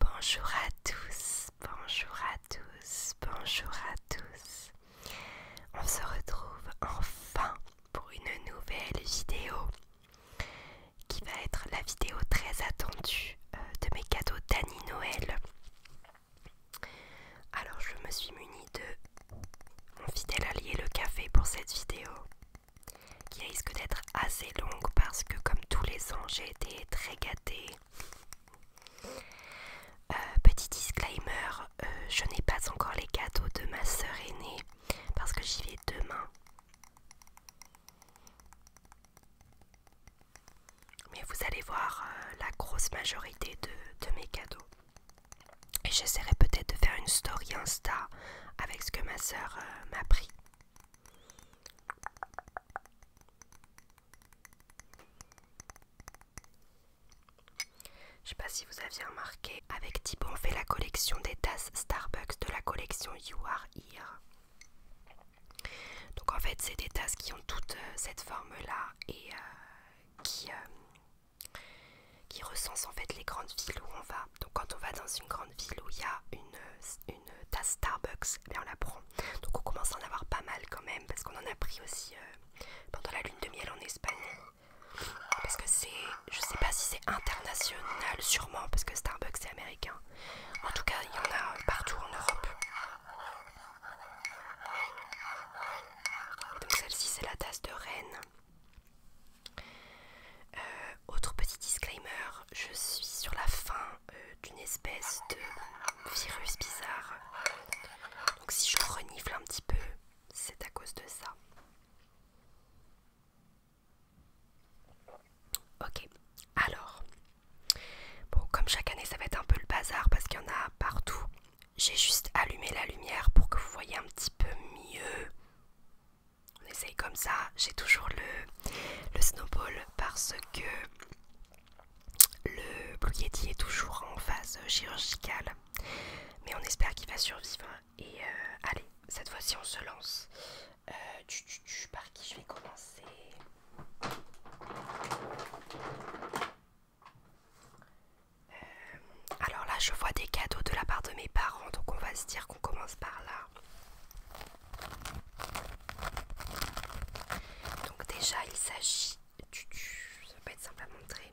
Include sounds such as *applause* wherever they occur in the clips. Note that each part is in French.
Bonjour à tous, bonjour à tous, bonjour à tous. On se retrouve enfin pour une nouvelle vidéo qui va être la vidéo très attendue euh, de mes cadeaux d'Annie Noël. Alors je me suis munie de mon fidèle allié le café pour cette vidéo qui risque d'être assez longue parce que comme tous les ans j'ai été très gâtée. Euh, petit disclaimer, euh, je n'ai pas encore les cadeaux de ma sœur aînée parce que j'y vais demain. Mais vous allez voir euh, la grosse majorité de, mes cadeaux. Et j'essaierai peut-être de faire une story Insta avec ce que ma soeur euh, m'a pris. Je sais pas si vous aviez remarqué, avec Thibaut on fait la collection des tasses Starbucks de la collection You Are Here. Donc en fait c'est des tasses qui ont toute euh, cette forme là et qui, euh, qui recense en fait les grandes villes où on va. Donc quand on va dans une grande ville où il y a une, une tasse Starbucks, mais eh on la prend. Donc on commence à en avoir pas mal quand même parce qu'on en a pris aussi euh, pendant la lune de miel en Espagne. Parce que c'est, je sais pas si c'est international, sûrement parce que Starbucks c'est américain. En tout cas, il y en a partout en Europe. Donc celle-ci c'est la tasse de reine. Euh, autre petit disclaimer, je suis sur la fin euh, d'une espèce de virus bizarre. Donc si je renifle un petit peu, c'est à cause de ça. Ok, alors Bon, comme chaque année, ça va être un peu le bazar parce qu'il y en a partout. J'ai juste allumé la lumière pour que vous voyez un petit peu mieux. On essaye comme ça. J'ai toujours le, le snowball parce que le Blue Yeti est toujours en phase chirurgicale. Mais on espère qu'il va survivre. Et euh, allez, cette fois-ci, on se lance. Euh, tu, par qui je vais commencer euh, alors là, je vois des cadeaux de la part de mes parents, donc on va se dire qu'on commence par là. Donc déjà, il s'agit ça être simple à montrer.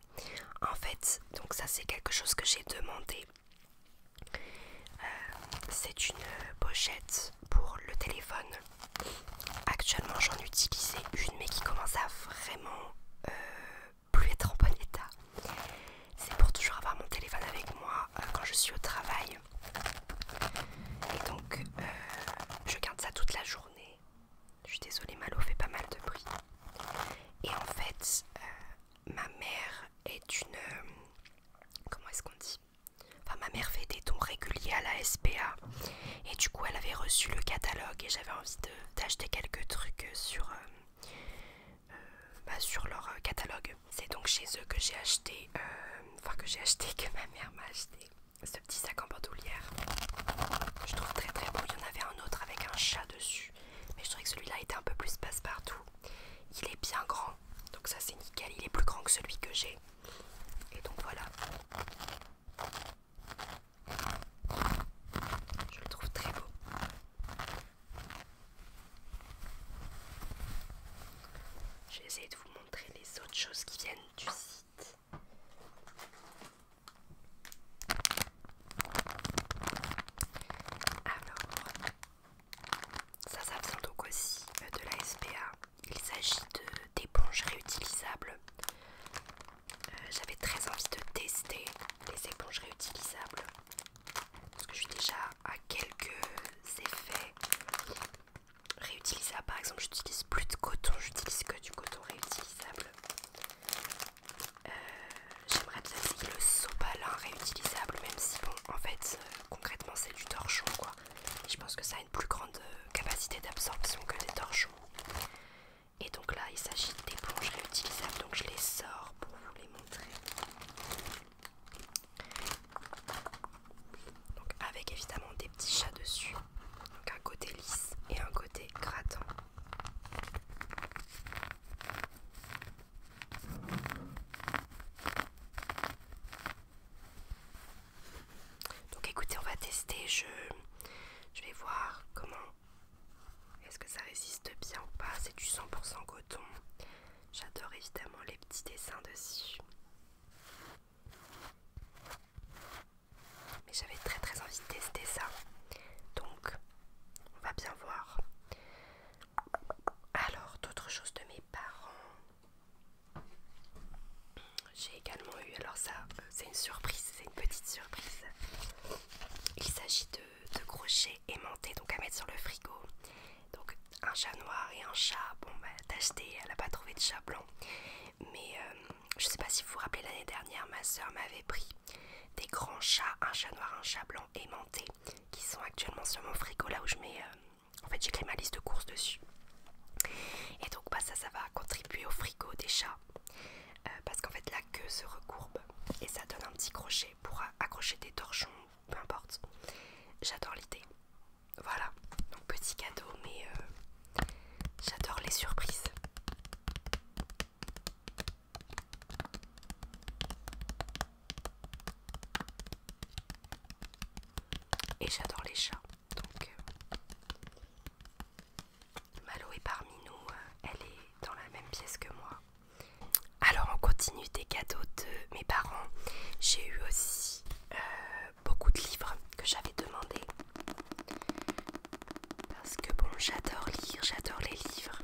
En fait, donc ça c'est quelque chose que j'ai demandé. Euh, c'est une pochette pour le téléphone. Actuellement, j'en utilisais une, mais qui commence à vraiment euh, plus être en bon état. C'est pour toujours avoir mon téléphone avec moi euh, quand je suis au travail. Et donc, euh, je garde ça toute la journée. Je suis désolée, Malo fait pas mal de bruit. Et en fait, ma mère est une. comment est-ce qu'on dit Enfin, ma mère fait des dons réguliers à la SPA. Et du coup, elle avait reçu le catalogue et j'avais envie d'acheter quelques trucs sur, euh, euh, bah, sur leur euh, catalogue. C'est donc chez eux que j'ai acheté, enfin que j'ai acheté, *laughs* que ma mère m'a acheté ce petit sac en bandoulière. Je trouve très très beau. Il y en avait un autre avec un chat dessus, mais je trouvais que celui-là était un peu plus passe-partout. Il est bien grand, donc ça c'est nickel. Il est plus grand que celui que j'ai. Et donc voilà. Je le trouve très beau. Je vais de vous montrer les autres choses qui viennent du site. Alors, ça, ça vient donc aussi euh, de la SPA. Il s'agit d'éponges réutilisables. Euh, j'avais très envie de tester les éponges réutilisables. Parce que je suis déjà à quelques effets réutilisables. Par exemple, j'utilise plus de coton, j'utilise que du coton réutilisable. Euh, j'aimerais bien le sopalin réutilisable, même si, bon, en fait, euh, concrètement, c'est du torchon, quoi. Je pense que ça a une plus grande capacité d'absorption que les torchons. Et donc là, il s'agit des réutilisables, donc je les sors pour vous les montrer. Donc avec évidemment des petits chats dessus, donc un côté lisse et un côté grattant. Donc écoutez, on va tester. Je, vais voir comment. Est-ce que ça résiste bien ou pas C'est du 100% coton. J'adore évidemment les petits dessins dessus. Mais j'avais très très envie de tester ça. Donc, on va bien voir. Alors, d'autres choses de mes parents j'ai également eu, alors ça euh, c'est une surprise, c'est une petite surprise. Il s'agit de, crochets aimantés, donc à mettre sur le frigo. Donc un chat noir et un chat, bon bah t'as elle a pas trouvé de chat blanc. Mais euh, je sais pas si vous vous rappelez l'année dernière, ma soeur m'avait pris des grands chats, un chat noir, un chat blanc aimantés, qui sont actuellement sur mon frigo là où je mets... Euh, en fait j'ai créé ma liste de courses dessus. Et donc bah ça ça va contribuer au frigo des chats euh, parce qu'en fait la queue se recourbe et ça donne un petit crochet pour accrocher des torchons, peu importe. J'adore l'idée. Voilà, donc petit cadeau, mais euh, j'adore les surprises. Et j'adore les chats, donc euh, Malo est parmi nous, euh, elle est dans la même pièce que moi. Alors on continue des cadeaux de mes parents. J'ai eu aussi euh, beaucoup de livres que j'avais demandé. Parce que bon, j'adore lire, j'adore les livres.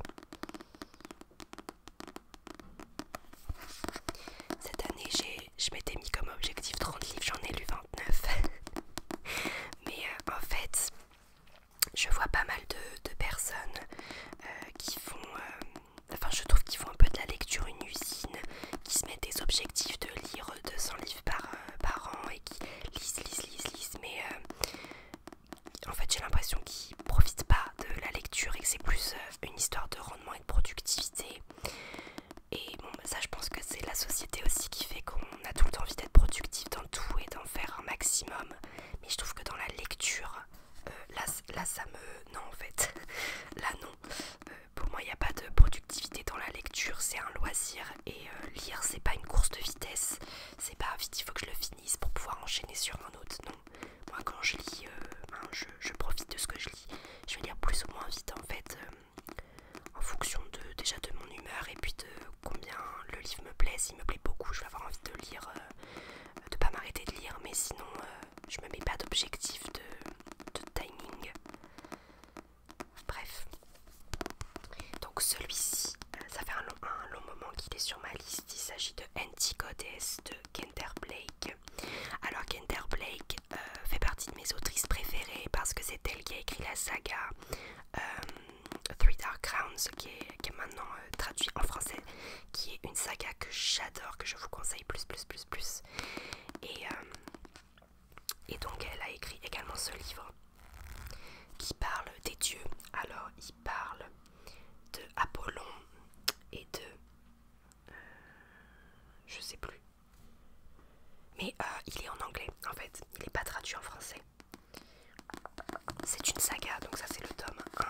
Cette année, je m'étais mis comme objectif 30 livres, j'en ai lu *laughs* Mais euh, en fait, je vois pas mal de, personnes euh, qui font... Euh, enfin, je trouve qu'ils font un peu de la lecture une usine, qui se mettent des objectifs de lire 200 livres par, par an et qui lisent, lisent, lisent, lisent. Mais en fait, j'ai l'impression qu'ils profitent pas de la lecture et que c'est plus une histoire de rendement et de productivité. Et bon, bah, ça, je pense que c'est la société aussi qui fait qu'on a tout le temps envie d'être productif dans tout et d'en faire un maximum. Mais je trouve que dans la lecture, euh, là, ça me. Non, en fait. *laughs* là, non. Euh, pour moi, il n'y a pas de productivité dans la lecture. C'est un loisir. Et euh, lire, c'est pas une course de vitesse. C'est pas vite, il faut que je le finisse pour pouvoir enchaîner sur un autre. Non. Moi, quand je lis, je, profite de ce que je lis. Je vais lire plus ou moins vite, en fait en fonction de, déjà de mon humeur et puis de combien le livre me plaît. S'il me plaît beaucoup, je vais avoir envie de lire, euh, de pas m'arrêter de lire, mais sinon je euh, je me mets pas d'objectif de, timing. Bref. Donc celui-ci, euh, ça fait un long, moment qu'il est sur ma liste. Il s'agit de Anti-Goddess de Kender Blake. Alors Kender Blake fait partie de mes autrices préférées parce que c'est elle qui a écrit la saga euh, Three Dark Crowns qui est, maintenant euh, traduit en français, qui est une saga que j'adore, que je vous conseille plus, plus, plus, plus. Et, euh, et donc elle a écrit également ce livre qui parle des dieux. Alors il parle de Apollon et de... je sais plus. Mais euh, il est en anglais, en fait. Il n'est pas traduit en français. C'est une saga, donc ça c'est le tome 1.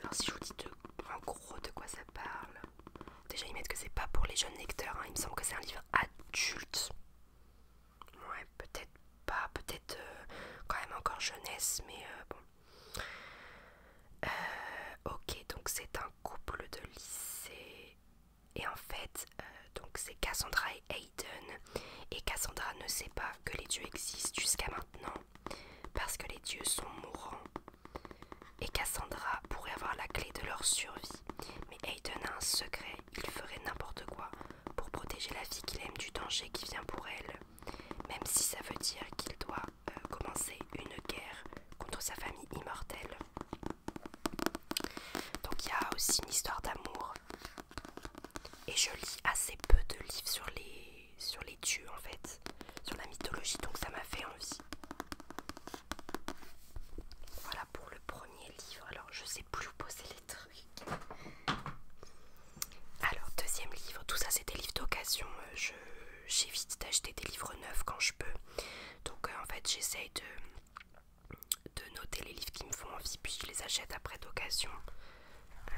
Alors si je vous dis en gros de quoi ça parle. Déjà ils mettent que c'est pas pour les jeunes lecteurs. Hein. Il me semble que c'est un livre adulte. Ouais, peut-être pas, peut-être euh, quand même encore jeunesse, mais euh, bon. ok, donc c'est un couple de lycée. Et en fait, euh, donc c'est Cassandra et Hayden. Et Cassandra ne sait pas que les dieux existent jusqu'à maintenant parce que les dieux sont mourants. Et Cassandra pourrait avoir la clé de leur survie. Mais Hayden a un secret, il ferait n'importe quoi pour protéger la fille qu'il aime du danger qui vient pour elle. Même si ça veut dire qu'il doit euh, commencer une guerre contre sa famille immortelle. Donc il y a aussi une histoire d'amour. Et je lis assez peu de livres sur les, sur les dieux en fait, sur la mythologie, donc ça m'a fait envie. Voilà pour le premier livre. Alors je sais plus où poser les trucs. Alors deuxième livre, tout ça c'est des livres d'occasion. Euh, je j'évite d'acheter des livres neufs quand je peux. Donc euh, en fait j'essaye de, de noter les livres qui me font envie puis je les achète après d'occasion. Euh,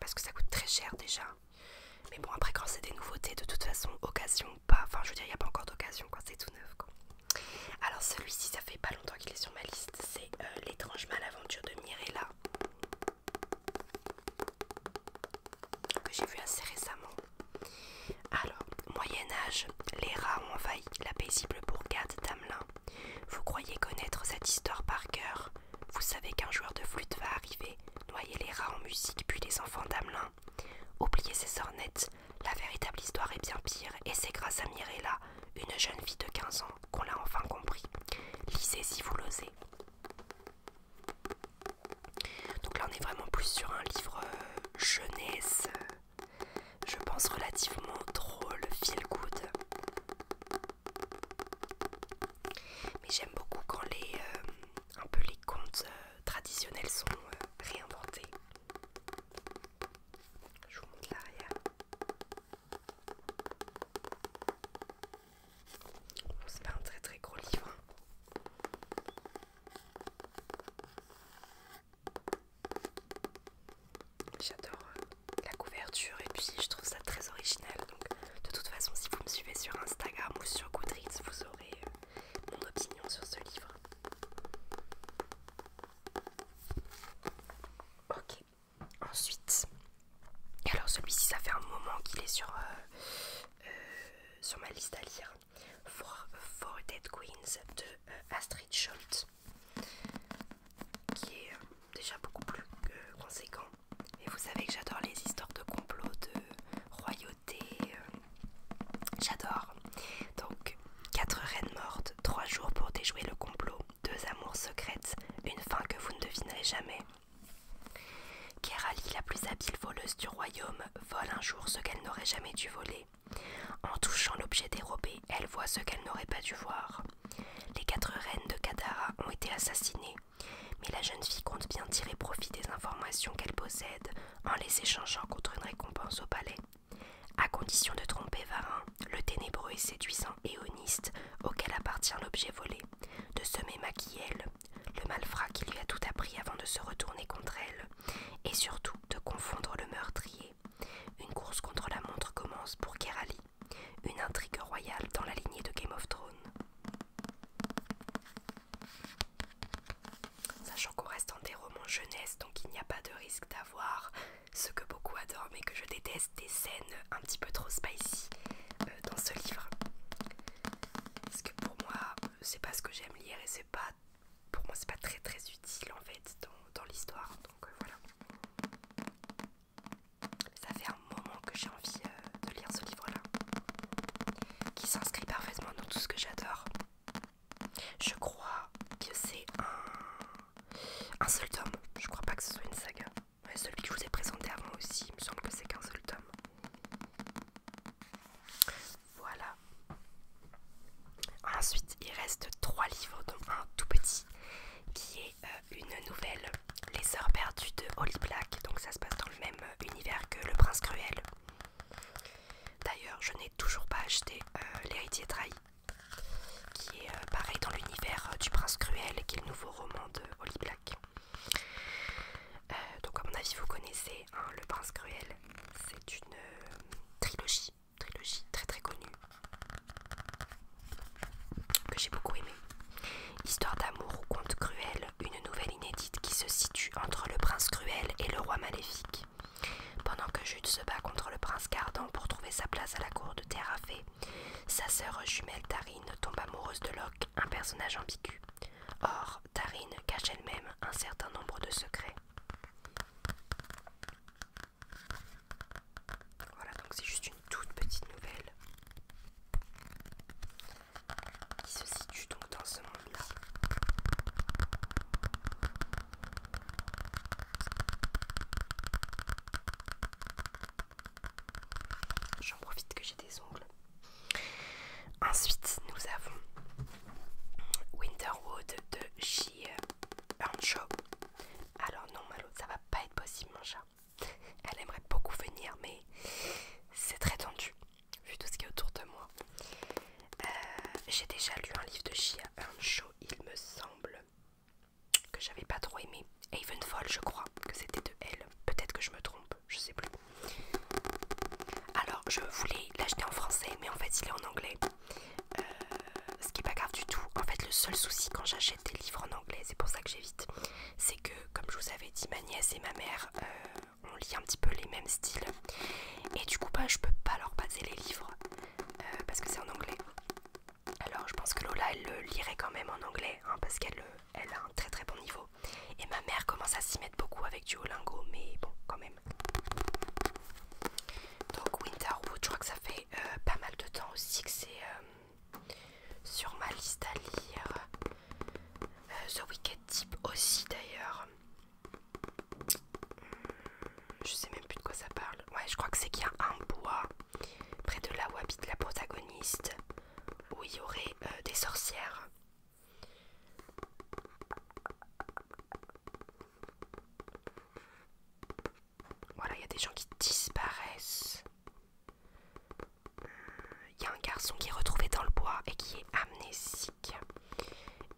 parce que ça coûte très cher déjà. Mais bon après quand c'est des nouveautés de toute façon occasion ou pas. Enfin je veux dire il n'y a pas encore d'occasion quand c'est tout neuf. Quoi. Alors celui-ci ça fait pas longtemps qu'il est sur ma liste. C'est euh, l'étrange malaventure de Mirella. Que j'ai vu assez récemment. Alors, Moyen Âge, les rats ont envahi la paisible bourgade d'Amelin. Vous croyez connaître cette histoire par cœur Vous savez qu'un joueur de flûte va arriver, noyer les rats en musique puis les enfants d'Amelin. Oubliez ces ornettes, la véritable histoire est bien pire et c'est grâce à Mirella, une jeune fille de 15 ans, qu'on l'a enfin compris. Lisez si vous l'osez. Donc là on est vraiment plus sur un livre euh, jeunesse, euh, je pense relativement drôle, feel good. Mais j'aime beaucoup quand les euh, un peu les contes traditionnels sont réinventés. Je vous montre l'arrière. c'est pas un très très gros livre. Hein. J'adore euh, la couverture et puis je trouve ça très original. Donc de toute façon, si vous me suivez sur Instagram ou sur Goodreads, vous aurez euh, mon opinion sur ce livre. Ok. Ensuite, alors celui-ci, ça fait un moment qu'il est sur, euh, sur ma liste à lire. For, Dead Queens de euh, Astrid Schultz, qui est euh, déjà beaucoup plus euh, conséquent. Et vous savez que j'adore les histoires de complot, de royauté, j'adore. Donc, quatre reines mortes, trois jours pour déjouer le complot, deux amours secrètes, une fin que vous ne devinerez jamais. Kerali, la plus habile voleuse du royaume, vole un jour ce qu'elle n'aurait jamais dû voler. En touchant l'objet dérobé, elle voit ce qu'elle n'aurait pas dû voir. Les quatre reines de Kadara ont été assassinées, mais la jeune fille compte bien tirer profit des informations qu'elle possède en les échangeant contre une récompense au palais. À condition de tromper Varin, le ténébreux et séduisant éoniste auquel appartient l'objet volé, de semer Maquiel, le malfrat qui lui a tout appris avant de se retourner contre elle, et surtout de confondre le meurtrier. Une course contre la montre commence pour Kerali, une intrigue royale dans la lignée de Game of Thrones. Sachant qu'on reste dans des romans jeunesse, donc il n'y a pas de risque d'avoir ce que beaucoup adorent mais que je déteste, des scènes un petit peu trop spicy euh, dans ce livre. Parce que pour moi, c'est pas ce que j'aime lire et c'est pas pour moi c'est pas très très utile en fait dans, l'histoire donc euh, voilà ça fait un moment que j'ai envie euh, de lire ce livre là qui s'inscrit parfaitement dans tout ce que j'adore je crois que c'est un seul tome je crois pas que ce soit une saga mais celui que je vous ai présenté avant aussi me semble que c'est qu'un seul tome voilà. Ensuite, il reste trois livres, dont un tout petit, qui est euh, une nouvelle, Les heures perdues de Holly Black. Donc ça se passe dans le même euh, univers que Le Prince Cruel. D'ailleurs, je n'ai toujours pas acheté euh, L'héritier trahi, qui est pareil dans l'univers du Prince Cruel, qui est le nouveau roman de Holly Black. donc à mon avis, vous connaissez hein, Le Prince Cruel. C'est une euh, trilogie, trilogie très très connue que j'ai beaucoup aimée. Histoire d'amour ou conte cruel, une nouvelle inédite qui se situe entre le prince cruel et le roi maléfique. Pendant que Jude se bat contre le prince Cardan pour trouver sa place à la cour de Terrafé, sa sœur jumelle Tarine tombe amoureuse de Locke, un personnage ambigu. Or, cache elle-même un certain nombre de secrets. Voilà, donc c'est juste une toute petite nouvelle qui se situe donc dans ce monde-là. J'en profite que j'ai des ongles. Ensuite, nous avons Winterwood de Shea Earnshaw. Alors non, Malo, ça va pas être possible, mon chat. Elle aimerait beaucoup venir, mais c'est très tendu, vu tout ce qui est autour de moi. Euh, j'ai déjà lu un livre de Shea Earnshaw, il me semble, que j'avais pas trop aimé. Evenfall je crois que c'était de elle. Peut-être que je me trompe, je sais plus. Alors je voulais l'acheter en français mais en fait il est en anglais. Euh, ce qui est pas grave du tout. En fait le seul souci quand j'achète des livres en anglais, c'est pour ça que j'évite, c'est que comme je vous avais dit ma nièce et ma mère euh, on lit un petit peu les mêmes styles. Et du coup pas, bah, je peux pas leur passer les livres euh, parce que c'est en anglais. Alors je pense que Lola elle le lirait quand même en anglais hein, parce qu'elle elle a un très très bon niveau. Et ma mère commence à s'y mettre beaucoup avec du lingo mais bon, quand même. Donc Winterwood, je crois que ça fait euh, pas mal de temps aussi que c'est euh, sur ma liste à lire. Euh, The Wicked Type aussi d'ailleurs. Hmm, je sais même plus de quoi ça parle. Ouais, je crois que c'est qu'il y a un bois près de là où habite la protagoniste où il y aurait des sorcières. Voilà, il y a des gens qui disparaissent. Il y a un garçon qui est retrouvé dans le bois et qui est amnésique.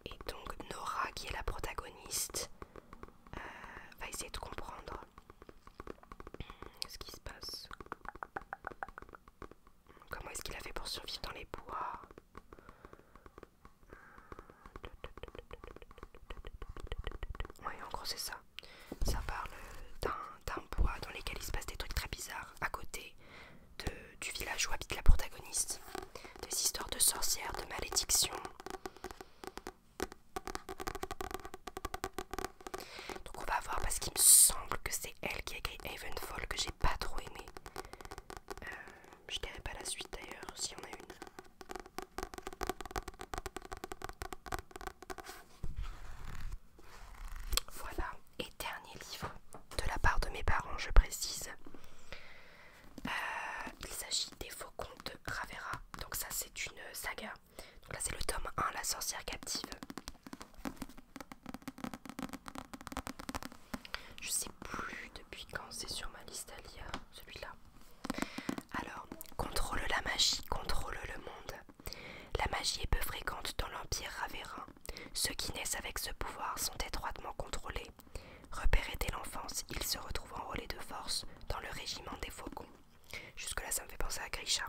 Et donc Nora, qui est la protagoniste, euh, va essayer de comprendre ce qui se passe. Comment est-ce qu'il a fait pour survivre dans les bois Ouais, en gros, c'est ça. Ça parle d'un bois dans lequel il se passe des trucs très bizarres à côté du village où habite la protagoniste. Des histoires de sorcières, de malédictions. Donc on va voir parce qu'il me semble que c'est elle qui a écrit Havenfall que j'ai pas trop aimé. Euh, je dirai pas la suite d'ailleurs, s'il y a une. Voilà, et dernier livre de la part de mes parents, je précise. Euh, il s'agit des Faucons de Ravera. Donc, ça, c'est une saga. Donc, là, c'est le tome 1, La sorcière captive. Je sais plus depuis quand c'est sur ma liste à celui-là. Alors, contrôle la magie, contrôle le monde. La magie est peu fréquente dans l'Empire Raverin Ceux qui naissent avec ce pouvoir sont étroitement contrôlés. Repérés dès l'enfance, ils se retrouvent enrôlés de force dans le régiment des faucons. Jusque-là, ça me fait penser à Grisha.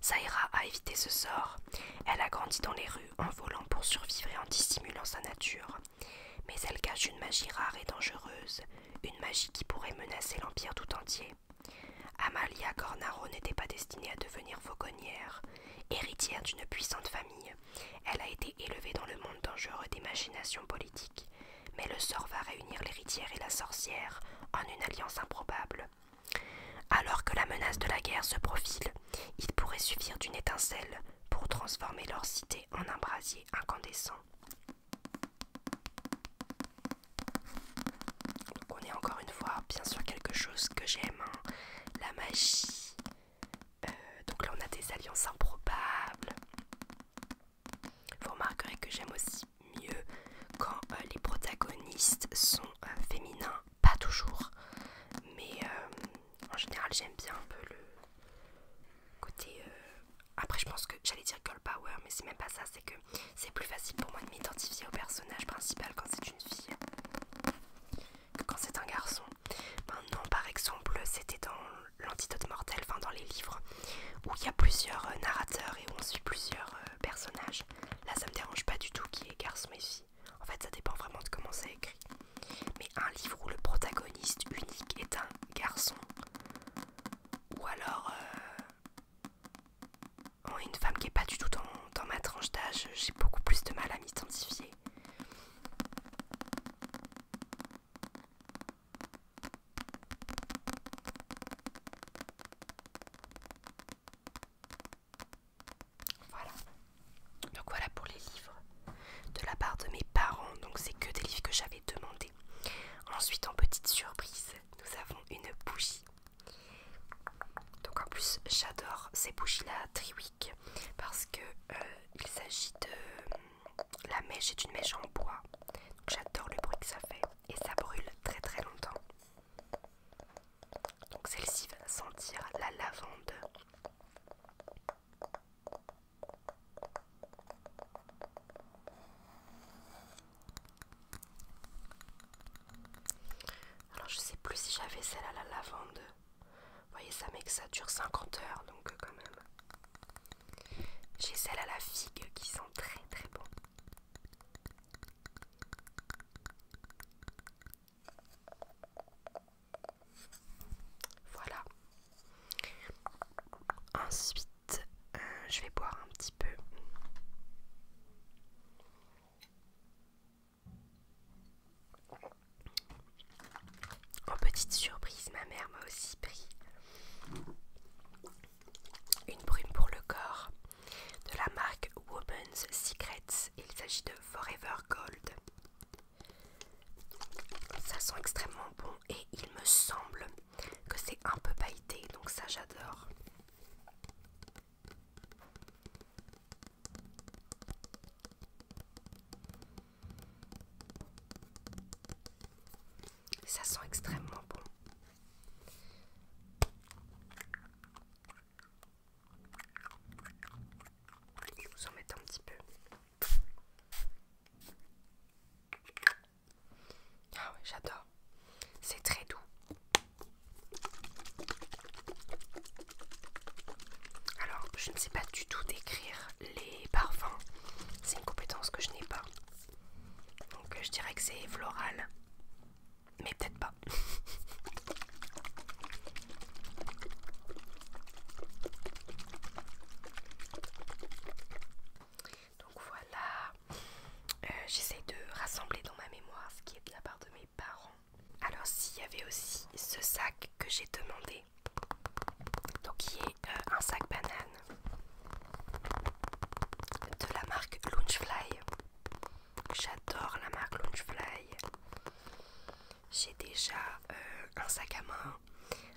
Saira a évité ce sort. Elle a grandi dans les rues en volant pour survivre et en dissimulant sa nature. Mais elle cache une magie rare et dangereuse, une magie qui pourrait menacer l'Empire tout entier. Amalia Cornaro n'était pas destinée à devenir fauconnière. Héritière d'une puissante famille, elle a été élevée dans le monde dangereux des machinations politiques. Mais le sort va réunir l'héritière et la sorcière en une alliance improbable. Alors que la menace de la guerre se profile, il pourrait suffire d'une étincelle pour transformer leur cité en un brasier incandescent. on est encore une fois bien sûr quelque chose que j'aime, hein. la magie. Euh, donc là on a des alliances improbables. Vous remarquerez que j'aime aussi mieux quand euh, les protagonistes sont euh, féminins pas toujours, mais euh, en général j'aime bien un peu le côté... Euh, après je pense que j'allais dire girl power, mais c'est même pas ça, c'est que c'est plus facile pour moi de m'identifier au personnage principal quand c'est une fille que quand c'est un garçon. Maintenant par exemple c'était dans l'antidote mortel, enfin dans les livres, où il y a plusieurs euh, narrateurs et où on suit plusieurs personnages. Là ça me dérange pas du tout qui est garçon et fille. En fait, ça dépend vraiment de comment c'est écrit. Mais un livre où le protagoniste unique est un garçon, ou alors euh, oh, une femme qui est pas du tout dans ma tranche d'âge, j'ai beaucoup plus de mal à m'identifier. Voilà. Donc voilà pour les livres de la part de mes parents. Donc c'est que des livres que j'avais demandé Ensuite en petite surprise, nous avons une bougie. Donc en plus j'adore ces bougies là Triwick parce que euh, il s'agit de la mèche est une mèche en bois. Donc j'adore le bruit que ça fait et ça brûle très très longtemps. Donc celle-ci va sentir la lavande. Alors je sais plus si j'avais celle à la lavande. Vous voyez ça mec ça dure 50 heures donc euh, quand même. J'ai celle à la figue qui sent très très bon. Voilà. Ensuite, euh, je vais boire un petit peu. En oh, petite surprise, ma mère m'a aussi pris une brume pour le corps de la marque Woman's Secrets. Il s'agit de Forever Gold. Ça sent extrêmement bon et il me semble que c'est un peu pailleté, donc ça j'adore. Ça sent extrêmement bon. Je vous en mettre un petit peu. Ah ouais, j'adore. C'est très doux. Alors, je ne sais pas du tout décrire les parfums. C'est une compétence que je n'ai pas. Donc, je dirais que c'est floral. Mais peut-être pas. *laughs* Donc voilà, euh, j'essaie de rassembler dans ma mémoire ce qui est de la part de mes parents. Alors s'il y avait aussi ce sac que j'ai demandé, donc qui est euh, un sac banane de la marque Lunchfly J'adore la marque Lunchfly j'ai déjà euh, un sac à main,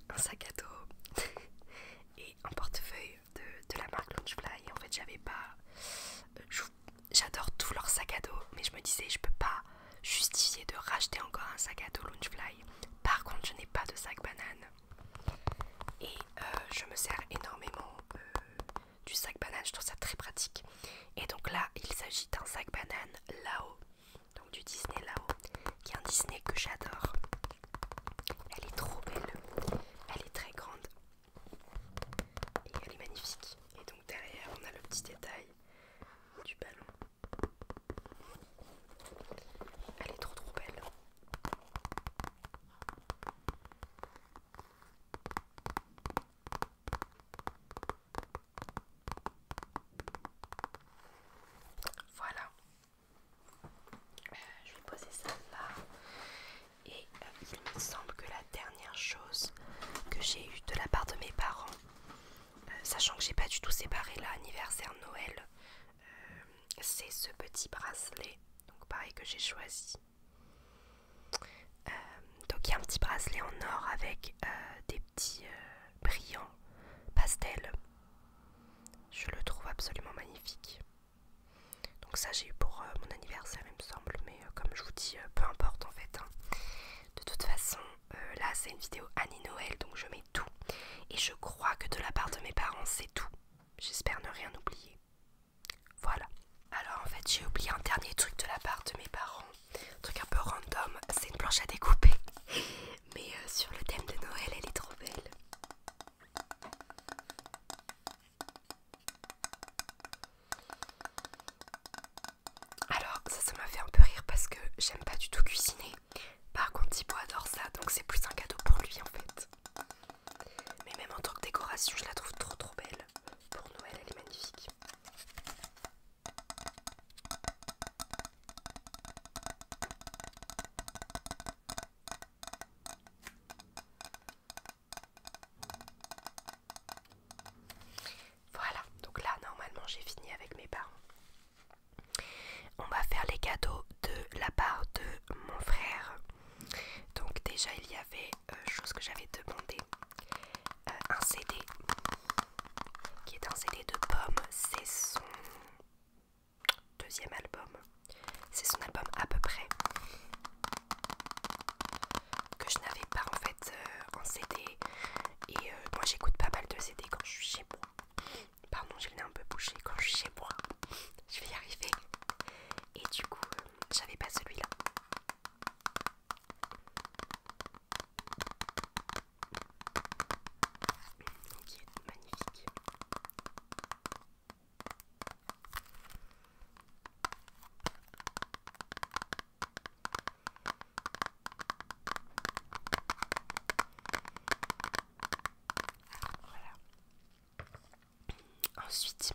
un sac à dos *laughs* et un portefeuille de, la marque Launchfly. en fait, j'avais pas. Euh, j'adore tous leurs sacs à dos, mais je me disais, je peux pas justifier de racheter encore un sac à dos Launchfly. Par contre, je n'ai pas de sac banane et euh, je me sers énormément du sac banane. Je trouve ça très pratique. Et donc là, il s'agit d'un sac banane là-haut, donc du Disney là qui est un Disney que j'adore. Elle est trop belle, elle est très grande et elle est magnifique. Et donc derrière, on a le petit détail du ballon. Elle est trop trop belle. Voilà. Euh, je vais poser ça là. Et euh, il me semble que la dernière chose que j'ai eu de la part de mes parents, euh, sachant que j'ai pas du tout séparé L'anniversaire Noël, c'est ce petit bracelet. Donc pareil que j'ai choisi. Euh, donc il y a un petit bracelet en or avec euh, des petits euh, brillants pastels Je le trouve absolument magnifique. Donc ça j'ai eu pour mon anniversaire il me semble, mais comme je vous dis, peu importe en fait. Hein. De toute façon, là c'est une vidéo Annie Noël, donc je mets tout. Et je crois que de la part de mes parents c'est tout. J'espère ne rien oublier. Voilà. Alors en fait j'ai oublié un dernier truc de la part de mes parents un truc un peu random, c'est une planche à découper, mais euh, sur le thème de Noël, elle est trop belle. Alors ça, ça m'a fait un peu rire parce que j'aime pas du tout cuisiner. Par contre, Thibaut adore ça, donc c'est plus un cadeau pour lui en fait. Mais même en tant que décoration, je la trouve trop trop belle. Pour Noël, elle est magnifique. Voilà, donc là normalement j'ai fini avec mes parents. On va faire les cadeaux de la part de mon frère. Donc déjà il y avait euh, chose que j'avais demandé. Euh, un CD qui est un CD de pommes. C'est son deuxième album. C'est son album à peu près que je n'avais pas en fait euh, en CD. Et euh, moi j'écoute pas mal de CD quand je suis chez moi. Pardon, je l'ai un peu bouché quand je suis chez moi. Je vais y arriver. Et du coup, j'avais pas celui-là qui est magnifique. Voilà. Ensuite,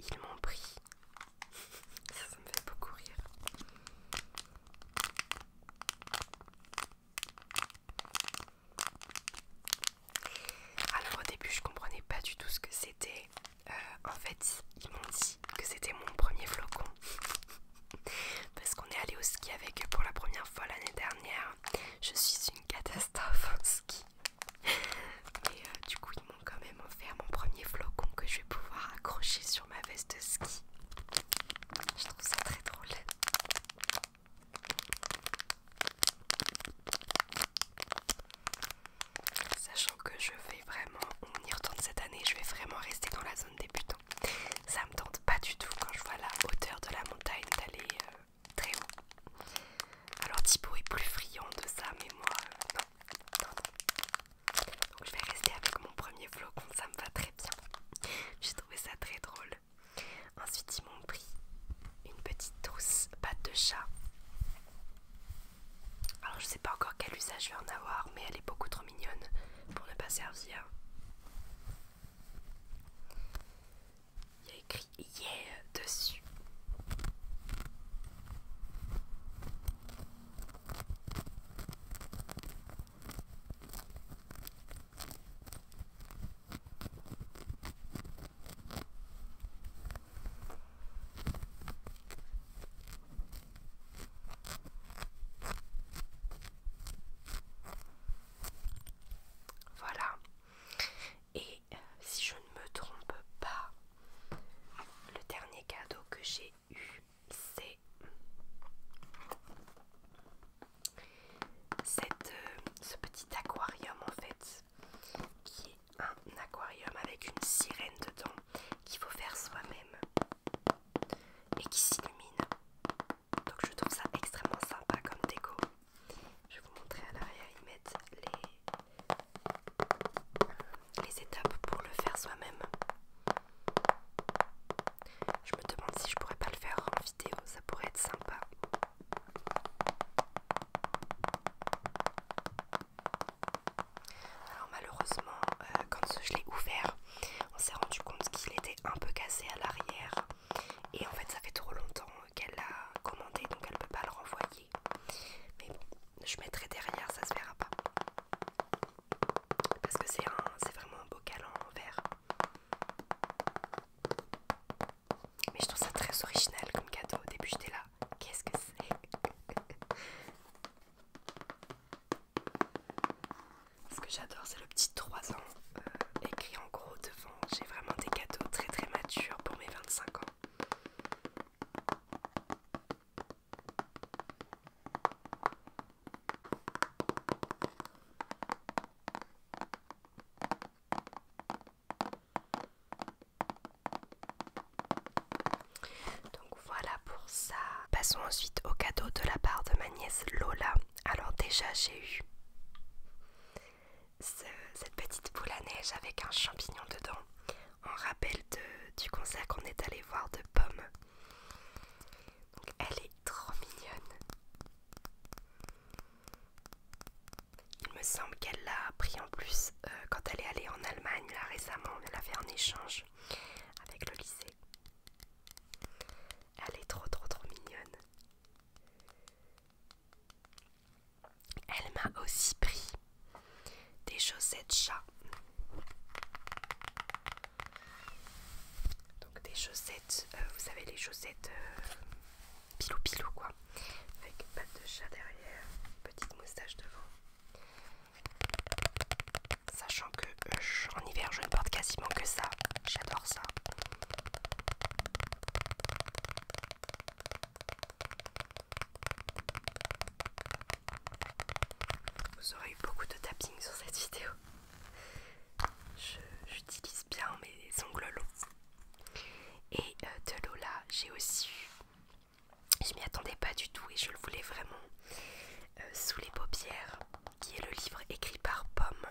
ils m'ont pris ça, me fait beaucoup rire. Alors au début je comprenais pas du tout ce que c'était. Euh, en fait ils m'ont dit que c'était mon premier flocon. *laughs* Parce qu'on est allé au ski avec eux pour la première fois l'année dernière. Je suis une catastrophe en ski. Et euh, du coup ils m'ont quand même offert mon premier flocon que je vais pouvoir accrocher sur ma veste de ski. Je trouve ça très drôle. Sachant que je vais vraiment, on y retourne cette année, je vais vraiment rester dans la zone débutant. Ça me tente pas du tout quand je vois la hauteur de la montagne d'aller euh, très haut. Alors Thibaut est plus friand de ça, mais moi, euh, non. Donc je vais rester avec mon premier flocon, ça me va très bien. J'ai trouvé ça très drôle. Ensuite ils m'ont pris une petite douce, pâte de chat. Alors je sais pas encore quel usage je vais en avoir, mais elle est beaucoup trop mignonne pour ne pas servir. Il y a écrit yeah dessus. Voilà. Et euh, si je ne me trompe pas, le dernier cadeau que j'ai eu c'est euh, ce petit aquarium en fait qui est un aquarium avec une sirène dedans qu'il faut faire soi-même et qui s'illumine donc je trouve ça extrêmement sympa comme déco je vais vous montrer à l'arrière ils mettent les les étapes pour le faire soi-même. Je me demande si je pourrais pas le faire en vidéo, ça pourrait être sympa. Alors malheureusement, euh, quand je l'ai ouvert, on s'est rendu compte qu'il était un peu cassé à l'arrière. Et en fait, ça fait trop longtemps euh, qu'elle l'a commandé, donc elle peut pas le renvoyer. Mais bon, je mettrai derrière, ça se verra pas parce que c'est vraiment un bocal en verre. Mais je trouve ça très original comme cadeau. Au début, j'étais là. Qu'est-ce que c'est *laughs* Ce que j'adore, c'est le petit 3 ans euh, écrit en gros devant. J'ai vraiment des cadeaux très très matures pour mes 25 ans. Donc voilà pour ça. Passons ensuite au cadeau de la part de ma nièce Lola. Alors déjà j'ai eu cette petite boule à neige avec un champignon dedans On rappelle du concert qu'on est allé voir de pommes elle est trop mignonne. Il me semble qu'elle l'a pris en plus euh, quand elle est allée en Allemagne récemment. Elle l'a fait en échange avec le lycée. Elle est trop trop trop mignonne. Elle m'a aussi pris des chaussettes chat. Donc des chaussettes, euh, vous savez les chaussettes euh, pilou pilou quoi, avec patte de chat derrière, petite moustache devant. Sachant que euh, en hiver je ne porte quasiment que ça, j'adore ça. Vous aurez eu beaucoup de tapping sur cette vidéo. J'utilise bien mes ongles Et euh, de Lola, j'ai aussi Je m'y attendais pas du tout et je le voulais vraiment. Euh, sous les paupières, qui est le livre écrit par Pomme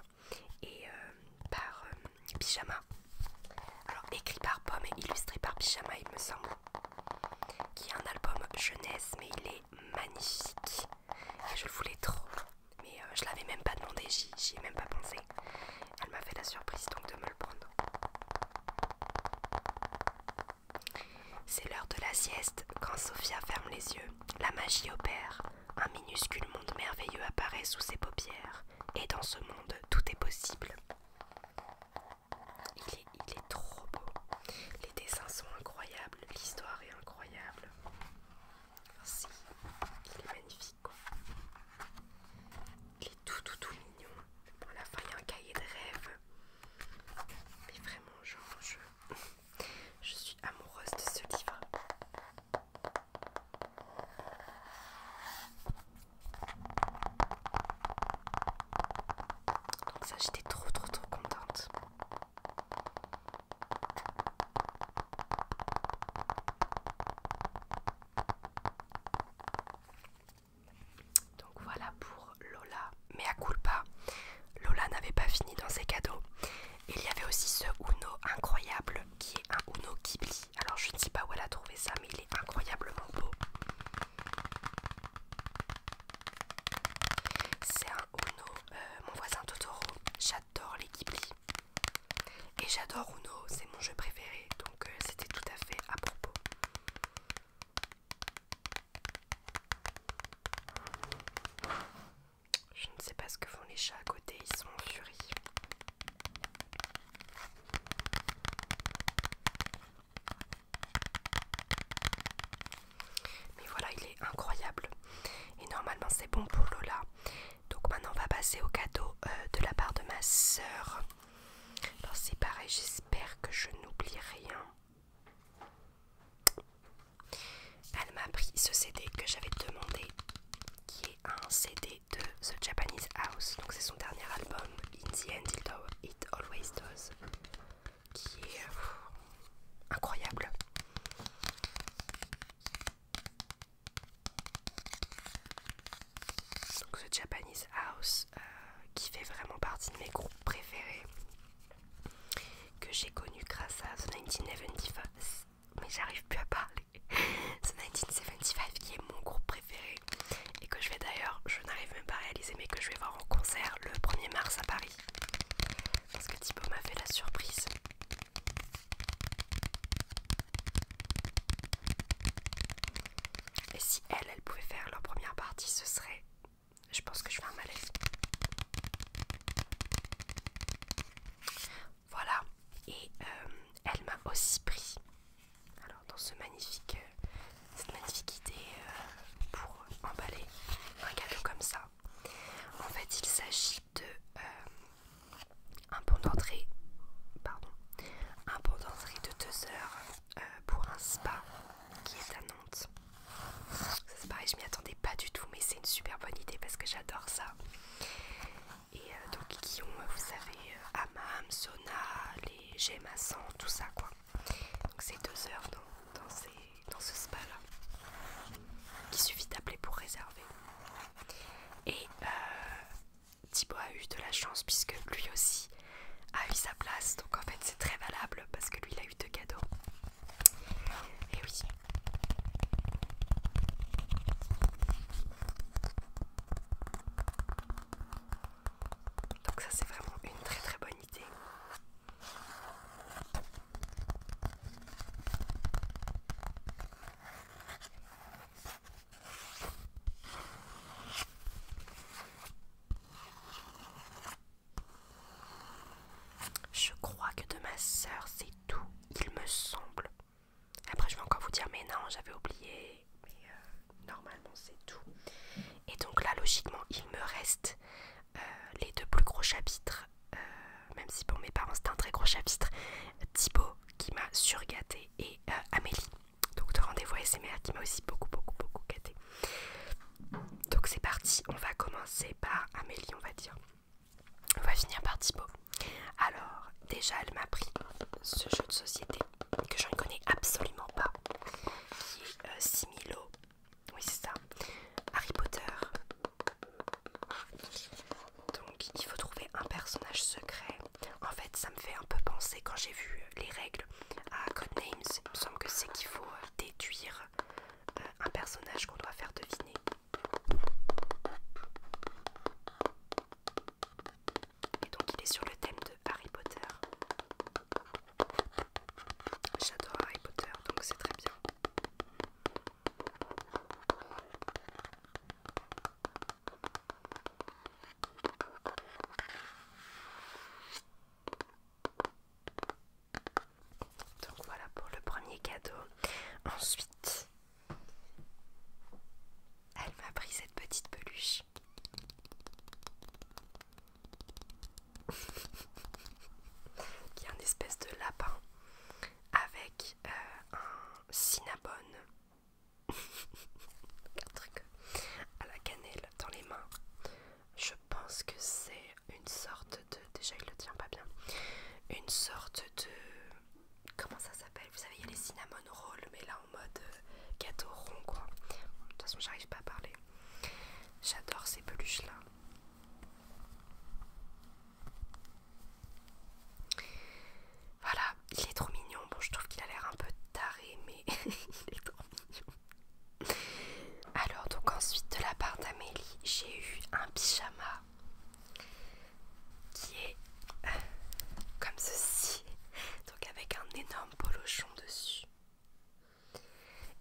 et euh, par Pyjama. Alors, écrit par Pomme et illustré par Pyjama, il me semble. Qui est un album jeunesse, mais il est magnifique je le voulais trop mais euh, je l'avais même pas demandé, j'y ai même pas pensé. Elle m'a fait la surprise donc de me le prendre. C'est l'heure de la sieste. Quand Sophia ferme les yeux, la magie opère. Un minuscule monde merveilleux apparaît sous ses paupières. Et dans ce monde, tout est possible. Il est, trop beau. Les dessins sont incroyables, l'histoire est incroyable. Si, il est magnifique Il est tout tout tout mignon. Bon, à la fin, il y a un cahier de rêve. Mais vraiment, je, *laughs* je suis amoureuse de ce livre. Donc ça j'étais trop trop trop contente. Donc voilà pour Lola. Mais à culpa, Lola n'avait pas fini dans ses cadeaux. Il y avait aussi ce Uno incroyable qui est un Uno Ghibli. Alors je ne sais pas où elle a trouvé ça, mais il est incroyablement beau. C'est un Uno, euh, mon voisin Totoro. J'adore les Ghibli. Et j'adore Uno, c'est mon jeu préféré, donc euh, c'était tout à fait à propos. Je ne sais pas ce que font les chats à côté, ils sont en mais voilà, il est incroyable. Et normalement, c'est bon pour Lola. Donc maintenant, on va passer au cadeau euh, de la part de ma sœur. Alors c'est pareil, j'espère que je n'oublie rien. Elle m'a pris ce CD que j'avais demandé, qui est un CD de The Japanese House. Donc c'est son dernier album, In the It Always Does qui est incroyable. Donc ce Japanese House euh, qui fait vraiment partie de mes groupes préférés que j'ai connu grâce à The 1975. Mais j'arrive plus à parler. *laughs* The 1975 qui est mon groupe préféré et que je vais d'ailleurs, je n'arrive même pas à réaliser, mais que je vais voir en concert le 1er mars à Paris. Parce que Thibaut m'a fait la surprise. Et si elle, elle pouvait faire leur première partie, ce serait... Je pense que je vais un malaise. Voilà. Et euh, elle m'a aussi pris, alors dans ce magnifique euh, cette magnifique idée euh, pour emballer un cadeau comme ça. En fait, il s'agit de euh, un pont d'entrée, pardon, un d'entrée de 2 heures euh, pour un spa qui est à Nantes. C'est pareil, je m'y attendais pas du tout, mais c'est une super bonne idée parce que j'adore ça. Et donc, qui ont, vous savez, hammam, sauna, les sang, tout ça quoi. Donc c'est deux heures dans, ce spa là Il suffit d'appeler pour réserver. Et euh, Thibaut a eu de la chance puisque lui aussi a eu sa place. Donc en fait c'est très valable parce que lui il a eu deux cadeaux. Et oui. Donc ça c'est vraiment une très très bonne idée. Je crois que de ma soeur c'est tout, il me semble. Après, je vais encore vous dire, mais non, j'avais oublié. Mais euh, normalement, c'est tout. Et donc là, logiquement, il me reste euh, les deux plus gros chapitres, euh, même si pour mes parents c'est un très gros chapitre, Thibaut qui m'a surgâté et euh, Amélie, donc de rendez-vous SMR qui m'a aussi beaucoup, beaucoup, beaucoup gâtée. Donc c'est parti, on va commencer par Amélie, on va dire. On va finir par Thibaut. Alors, déjà, elle m'a pris ce jeu de société que je ne connais absolument pas, qui est Similo oui, c'est ça. Harry Potter. Donc, il faut trouver un personnage secret. En fait, ça me fait un peu penser, quand j'ai vu euh, les règles à Codenames, il me semble que c'est qu'il faut euh, déduire euh, un personnage qu'on doit faire deviner. Et donc, il est sur le thème de Harry Potter. J'adore Harry Potter, donc c'est très bien. Donc voilà pour le premier cadeau. Ensuite, elle m'a pris cette petite peluche. *laughs* qui est un espèce de lapin avec euh, un cinnamon un *laughs* truc à la cannelle dans les mains. Je pense que c'est une sorte de. Déjà, il le tient pas bien. Une sorte de. Comment ça s'appelle Vous savez, il y a les cinnamon rolls, mais là en mode euh, gâteau rond quoi. De toute façon, j'arrive pas à parler. J'adore ces peluches-là. Voilà, il est trop mignon. Bon, je trouve qu'il a l'air un peu taré, mais *laughs* il est trop mignon. Alors, donc ensuite, de la part d'Amélie, j'ai eu un pyjama qui est euh, comme ceci, donc avec un énorme polochon dessus.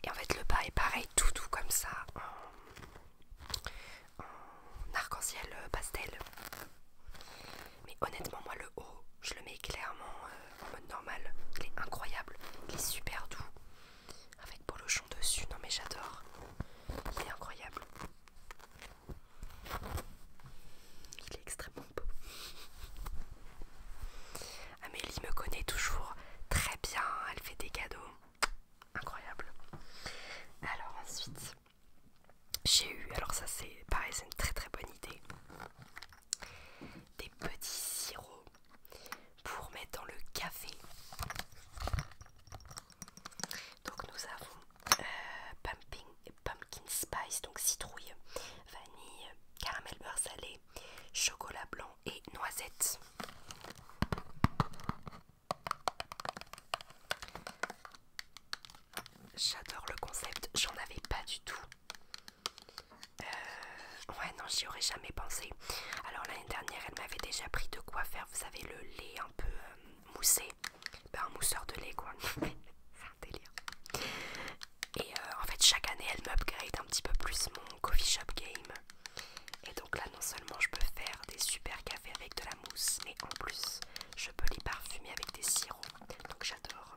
Et en fait, le bas est pareil, tout doux comme ça, en, arc-en-ciel euh, pastel. Mais honnêtement, moi, le haut, je le mets clairement euh, en mode normal. Il est incroyable, il est super doux. Avec bolochon dessus, non mais j'adore. Il est incroyable. Il est extrêmement beau. Amélie me connaît toujours très bien, elle fait des cadeaux. Incroyable. Alors ensuite, j'ai eu, alors ça c'est pareil, c'est une très très bonne idée. Des petits sirops pour mettre dans le café. Donc nous avons euh, pumpkin spice, donc citrouille, vanille, caramel beurre salé, chocolat blanc, et noisettes. J'adore le concept, j'en avais pas du tout. Euh, ouais, non, j'y aurais jamais pensé. Alors l'année dernière, elle m'avait déjà pris de quoi faire, vous savez, le lait un peu euh, moussé. Ben, un mousseur de lait, quoi. *laughs* C'est un délire. Et euh, en fait, chaque année, elle m'upgrade un petit peu plus mon coffee shop game. Et donc là, non seulement je peux faire des super cafés avec de la mousse, mais en plus, je peux les parfumer avec des sirops. Donc j'adore.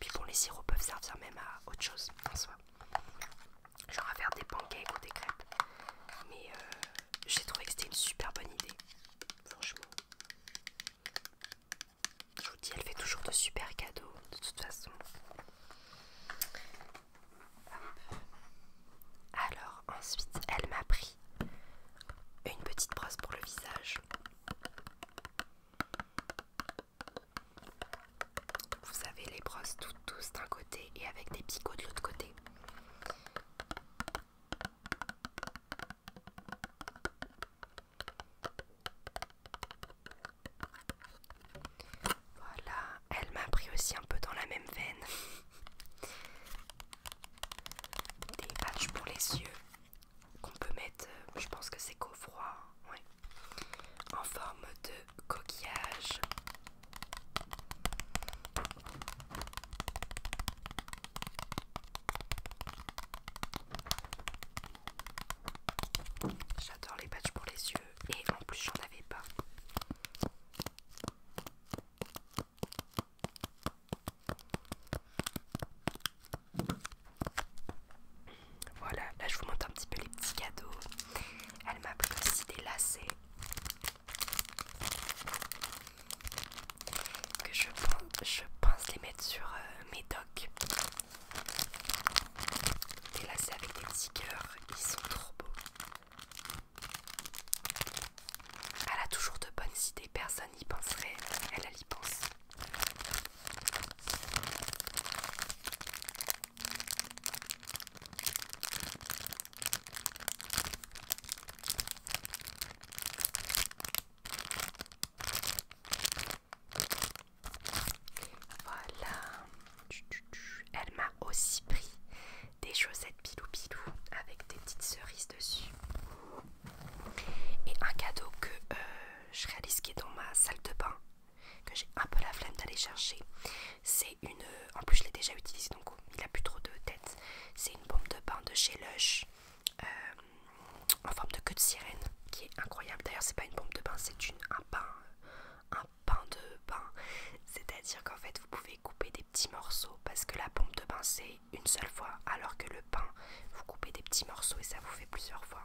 Puis bon, les sirops peuvent servir même à autre chose en soi. Genre à faire des pancakes ou des crêpes. Mais euh, j'ai trouvé que c'était une super bonne idée. Franchement. Je vous dis, elle fait toujours de super cadeaux de toute façon. Alors ensuite elle m'a pris une petite brosse pour le visage. Vous savez les brosses toutes douces d'un côté et avec des picots de l'autre côté. Voilà, elle m'a pris aussi un peu dans la même veine. Des patchs pour les yeux qu'on peut mettre, euh, je pense que c'est qu'au froid, en forme de coquillage. J'adore les patchs pour les yeux et en plus j'en avais pas. Voilà, là je vous montre un petit peu les petits cadeaux. Elle m'a pris aussi des lacets que je pense, les mettre sur euh, mes docks Délacé avec des petits cœurs, ils sont trop beaux. Elle a toujours de bonnes idées, personne n'y penserait, elle, elle y pense. Voilà. Elle m'a aussi pris des chaussettes pilou pilou avec des petites cerises dessus. Et un cadeau que euh, je réalise qui est dans ma salle de bain, que j'ai un peu la flemme d'aller chercher. C'est une. Euh, en plus, je l'ai déjà utilisée donc oh, il n'a plus trop de tête. C'est une bombe de bain de chez Lush euh, en forme de queue de sirène qui est incroyable. D'ailleurs, c'est pas une bombe de bain, c'est un bain, pain de bain. C'est-à-dire qu'en fait, vous pouvez couper des petits morceaux parce que la pompe de bain, c'est une seule fois, alors que le pain, vous coupez des petits morceaux et ça vous fait plusieurs fois.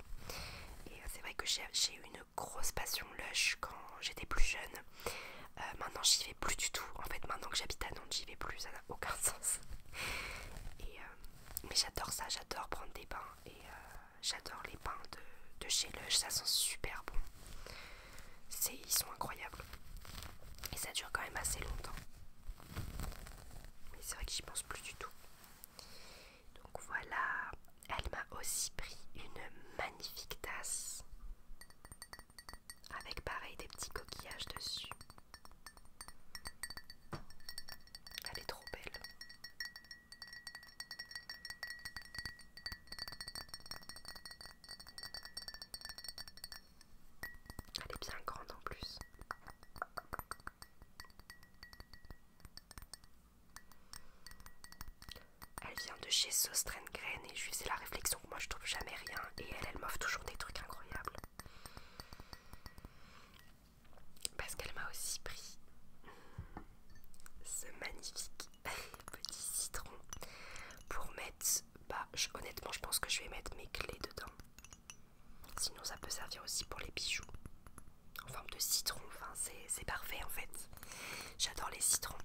Et euh, c'est vrai que j'ai eu une grosse passion Lush quand j'étais plus jeune. Euh, maintenant, j'y vais plus du tout. En fait, maintenant que j'habite à Nantes, j'y vais plus. Ça n'a aucun *laughs* sens. Et, euh, mais j'adore ça, j'adore prendre des bains. Et, j'adore les pains de, chez Lush, ça sent super bon. Ils sont incroyables. Et ça dure quand même assez longtemps. Mais c'est vrai que j'y pense plus du tout. Donc voilà, elle m'a aussi pris une magnifique tasse. Avec pareil des petits coquillages dessus. Elle est trop belle. Elle est bien grande en plus. Elle vient de chez Sostrengren et je lui la réflexion que moi je trouve jamais rien et elle, elle m'offre toujours des trucs incroyables. Parce qu'elle m'a aussi pris ce magnifique *laughs* petit citron pour mettre, bah honnêtement je pense que je vais mettre mes clés dedans. Sinon ça peut servir aussi pour les bijoux en forme de citron, enfin c'est parfait en fait. J'adore les citrons.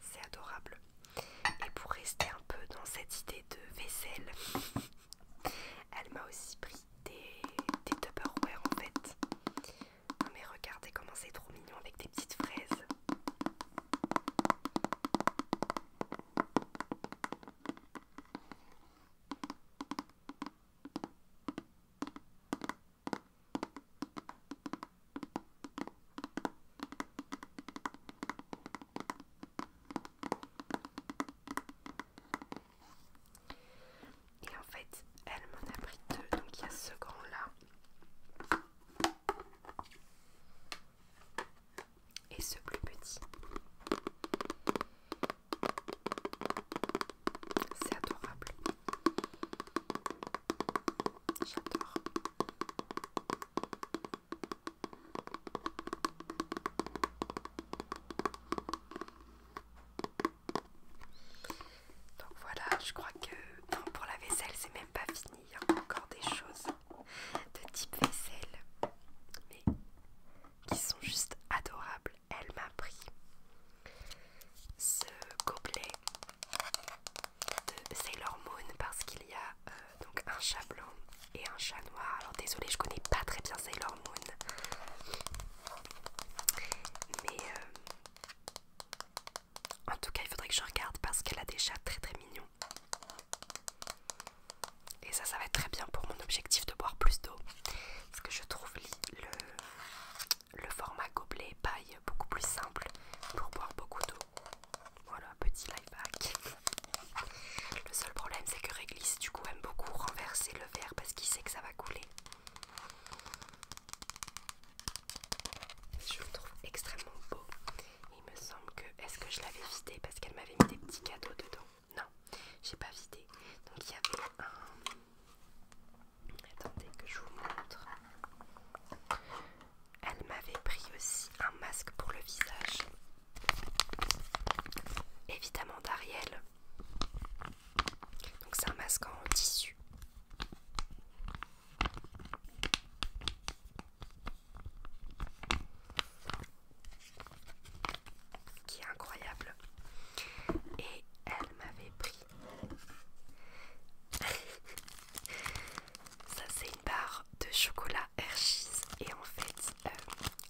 C'est adorable. Et pour rester un peu dans cette idée de vaisselle, *laughs* elle m'a aussi pris des, des Tupperware en fait. mais regardez comment c'est trop mignon avec des petites fraises. Et en fait, elle m'en a pris deux. Donc il y a ce grand-là et ce plus petit. C'est adorable. J'adore. Donc voilà, je crois que non, pour la vaisselle, c'est même pas fini. Il y a encore des choses de type vaisselle, mais qui sont juste adorables. Elle m'a pris ce gobelet de Sailor Moon parce qu'il y a euh, donc un chat et un chat noir. Alors désolée, je connais pas très bien Sailor Moon. Mais euh, en tout cas, il faudrait que je regarde parce qu'elle a des chats très très mignons. Et ça, ça va être très bien pour mon objectif de boire plus d'eau. Parce que je trouve le, le format gobelet paille beaucoup plus simple pour boire beaucoup d'eau. Voilà, petit live le seul problème c'est que Réglisse du coup aime beaucoup renverser le verre parce qu'il sait que ça va couler. Je le trouve extrêmement beau. Il me semble que... Est-ce que je l'avais vidé parce qu'elle m'avait mis des petits cadeaux dedans Non, j'ai pas vidé. Donc il y avait un... Attendez que je vous montre. Elle m'avait pris aussi un masque pour le visage évidemment d'Ariel. Donc c'est un masque en tissu. Qui est incroyable. Et elle m'avait pris. *laughs* Ça c'est une barre de chocolat Hershey's et en fait euh,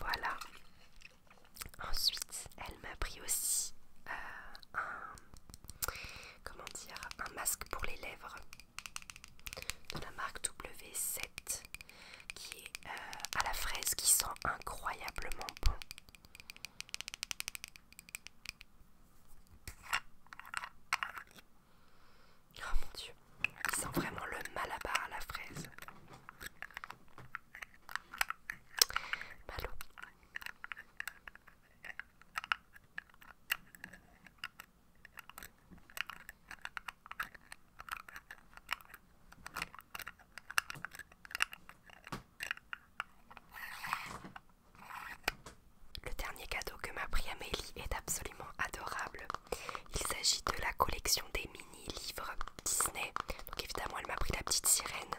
Voilà. Ensuite, elle m'a pris aussi euh, un comment dire un masque pour les lèvres de la marque W7 qui est euh, à la fraise qui sent incroyablement bon. Oh mon dieu, il sent vraiment le mal à la fraise. Le dernier cadeau que m'a pris Amélie est absolument adorable. Il s'agit de la collection des mini-livres Disney. Donc évidemment, elle m'a pris la petite sirène.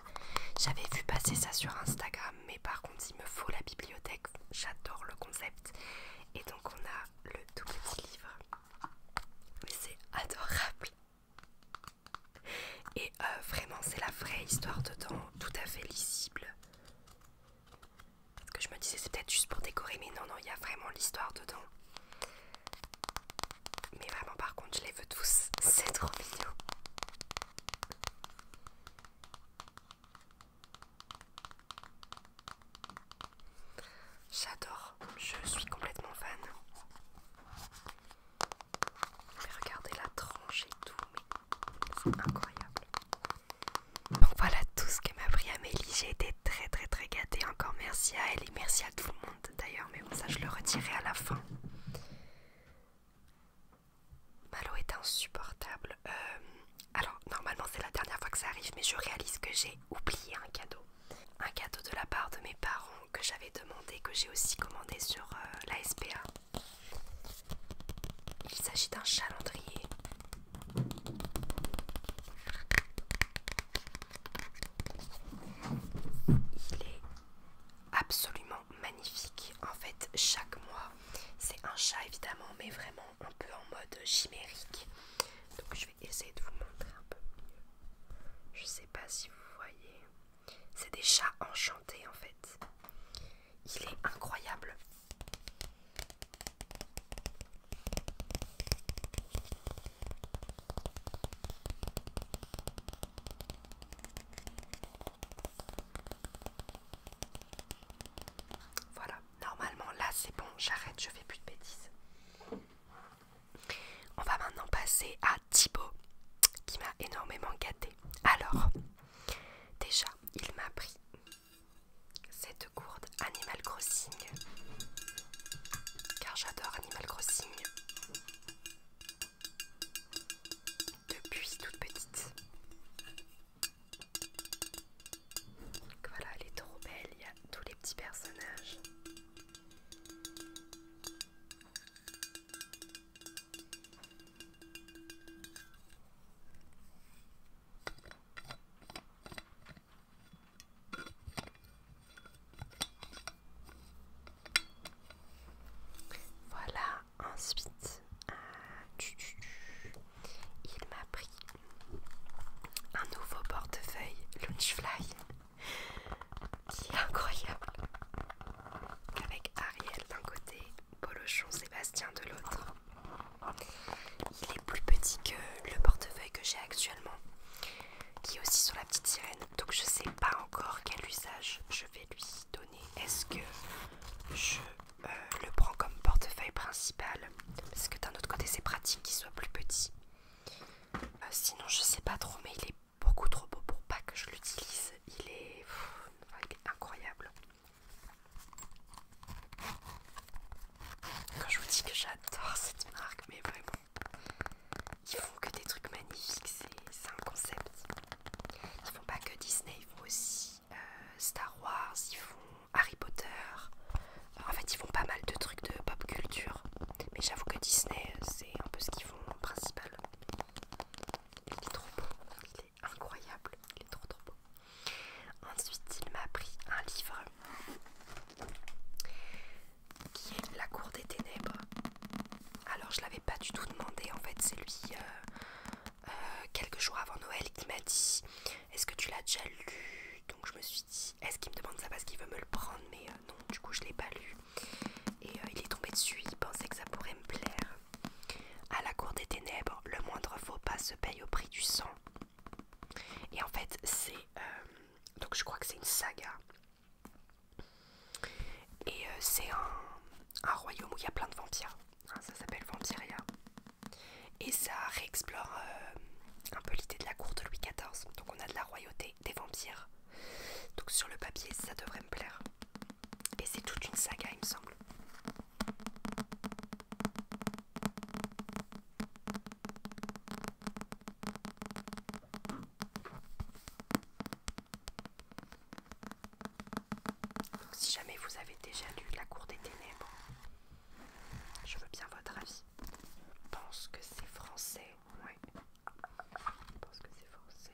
J'avais vu passer ça sur Instagram, mais par contre, il me faut la bibliothèque. J'adore le concept. Et donc, on a le tout petit livre. Mais c'est adorable. Et euh, vraiment, c'est la vraie histoire dedans, tout à fait lisible. Parce que je me disais c'est peut-être juste pour décorer, mais non, non, il y a vraiment l'histoire dedans. Mais vraiment par contre je les veux tous, *laughs* c'est trop mignon. J'adore, je suis complètement fan. Mais regardez la tranche et tout, mais c'est incroyable. Donc voilà tout ce que m'a pris Amélie. J'ai été très très très gâtée. Encore merci à elle et merci à tout le monde d'ailleurs. Mais bon ça je le retirerai à la fin. Malo est insupportable. Euh, alors normalement c'est la dernière fois que ça arrive mais je réalise que j'ai oublié un cadeau. Un cadeau de la part de mes parents que j'avais demandé, que j'ai aussi commandé sur euh, la SPA. Il s'agit d'un chalandrier il est absolument magnifique. En fait, chaque mois, c'est un chat évidemment, mais vraiment un peu en mode chimérique. Donc je vais essayer de vous montrer un peu mieux. Je sais pas si vous voyez. C'est des chats enchantés en fait. Il est incroyable. Voilà, normalement là c'est bon, j'arrête, je fais plus de bêtises. On va maintenant passer à Thibaut qui m'a énormément gâté. Alors, déjà, il m'a pris cette gourde Animal Crossing car j'adore Animal Crossing depuis toute petite. voilà, elle est trop belle, il y a tous les petits personnages. Voilà, ensuite, euh, il m'a pris un nouveau portefeuille Lunchfly qui est incroyable. Avec Ariel d'un côté, Polochon Sébastien de l'autre. Il est plus petit que le portefeuille que j'ai actuellement, qui est aussi sur la petite sirène. Donc je ne sais pas encore quel usage je vais lui donner. Est-ce que je euh, le prends comme portefeuille principal Parce que d'un autre côté c'est pratique qu'il soit plus petit. Euh, sinon je sais pas trop, mais il est beaucoup trop beau pour pas que je l'utilise. Il est incroyable. Quand je vous dis que j'adore cette marque, mais vraiment, ils font que des trucs magnifiques, c'est un concept. Ils font pas que Disney, ils font aussi euh, Star Wars, ils font Harry Potter. En fait, ils font pas mal de trucs de pop culture, mais j'avoue que Disney, c'est un peu ce qu'ils font en principal. Il est trop beau, il est incroyable, il est trop trop beau. Ensuite, il m'a pris un livre qui est La Cour des Ténèbres. Alors, je l'avais pas du tout demandé en fait, c'est lui euh, euh, quelques jours avant Noël qui m'a dit Est-ce que tu l'as déjà lu Donc, je me suis dit Est-ce qu'il me demande ça parce qu'il veut me le prendre Mais euh, non, du coup, je l'ai pas lu. Et il est tombé dessus, il pensait que ça pourrait me plaire. À la cour des ténèbres, le moindre faux pas se paye au prix du sang. Et en fait, c'est. Euh, donc, je crois que c'est une saga. Et euh, c'est un, royaume où il y a plein de vampires. Hein, ça s'appelle Vampiria. Et ça réexplore euh, un peu l'idée de la cour de Louis XIV. Donc, on a de la royauté des vampires. Donc, sur le papier, ça devrait me plaire. Et c'est toute une saga, il me semble si jamais vous avez déjà lu La Cour des Ténèbres, je veux bien votre avis. pense que c'est français, Oui Je pense que c'est français.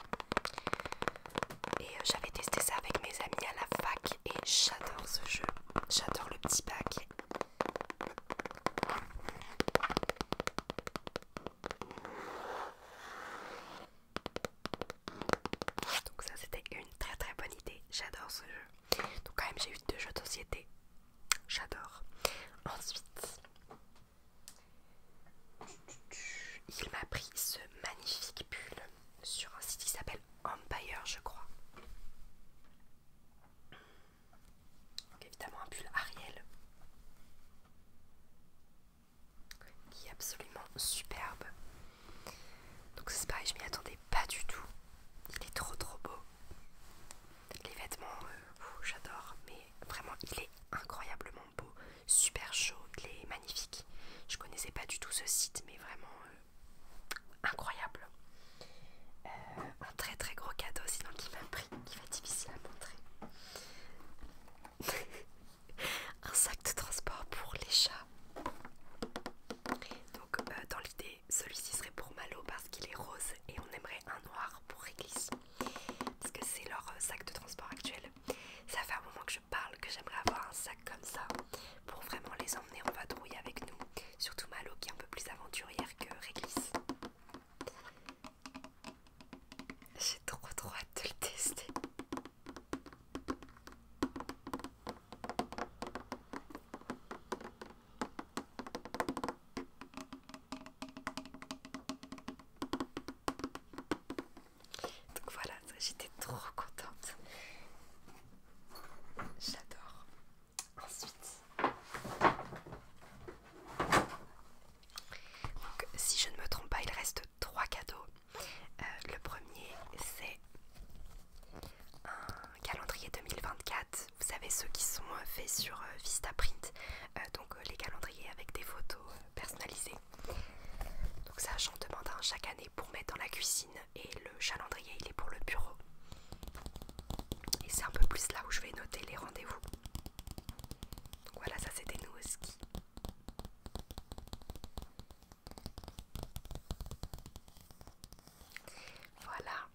Et euh, j'avais testé ça avec mes amis à la fac et j'adore ce jeu. J'adore le petit bac Donc ça c'était une très très bonne idée. J'adore ce jeu. Donc quand même j'ai eu deux jeux de société. J'adore. Ensuite il m'a pris ce magnifique pull sur un site qui s'appelle Empire, je crois. évidemment un pull Ariel qui est absolument superbe. Donc c'est pareil, je m'y attendais pas du tout. Il est trop trop beau. Les vêtements, euh, j'adore, mais vraiment il est incroyablement super chaud, et magnifique Je connaissais pas du tout ce site, mais vraiment euh, incroyable. Euh, un très très gros cadeau, sinon qui m'a pris, qui va difficile à montrer. *laughs* un sac de transport pour les chats. Donc euh, dans l'idée, celui-ci serait pour Malo parce qu'il est rose et on aimerait un noir pour église Parce que c'est leur sac de transport actuel. Ça fait un moment que je parle que j'aimerais avoir un sac comme ça pour vraiment les emmener en vadrouille avec nous. Surtout Malo qui est un peu plus aventurière que Réglisse. J'ai trop trop hâte de le tester. Donc voilà, j'étais trop contente. J'adore. Ensuite, donc si je ne me trompe pas, il reste trois cadeaux. Euh, le premier, c'est un calendrier 2024. Vous savez ceux qui sont euh, faits sur euh, Vistaprint, donc les calendriers avec des photos personnalisées. Donc ça j'en demande un chaque année pour mettre dans la cuisine et le calendrier il est pour le bureau. Et c'est un peu plus là où je vais noter les rendez-vous. Donc voilà ça c'était nous au Voilà.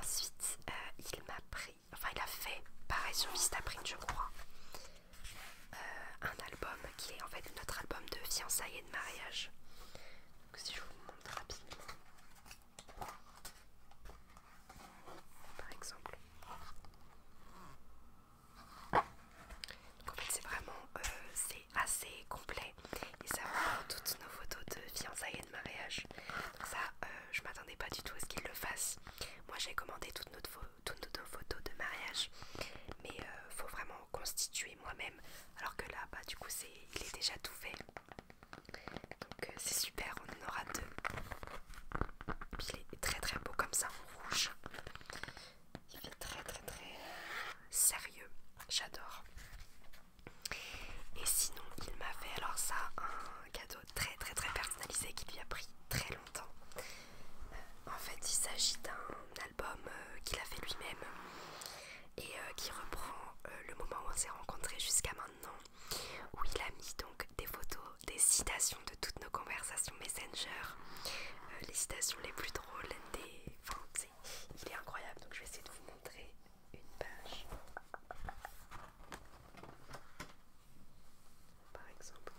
Ensuite euh, il m'a pris, enfin il a fait pareil sur Vistaprint je crois. Euh, un album qui est en fait notre album de fiançailles et de mariage. Donc, si je vous montre rapidement, par exemple. c'est vraiment euh, c'est assez complet et ça toutes nos photos de fiançailles et de mariage. ça euh, je m'attendais pas du tout à ce qu'ils le fassent. Moi j'ai commandé toutes nos, photos toutes nos photos de mariage mais euh, faut vraiment constituer moi-même alors que là bah du coup c'est il est déjà tout fait donc euh, c'est super on en aura deux Puis, il est très très beau comme ça en rouge il est très très très euh, sérieux j'adore et sinon il m'a fait alors ça un cadeau très très très personnalisé qui lui a pris très longtemps en fait il s'agit d'un album euh, qu'il a fait lui-même et euh, qui reprend euh, le moment où on s'est rencontrés jusqu'à maintenant, où il a mis donc des photos, des citations de toutes nos conversations Messenger, les citations les plus drôles, des... Français. il est incroyable, donc je vais essayer de vous montrer une page. Par exemple,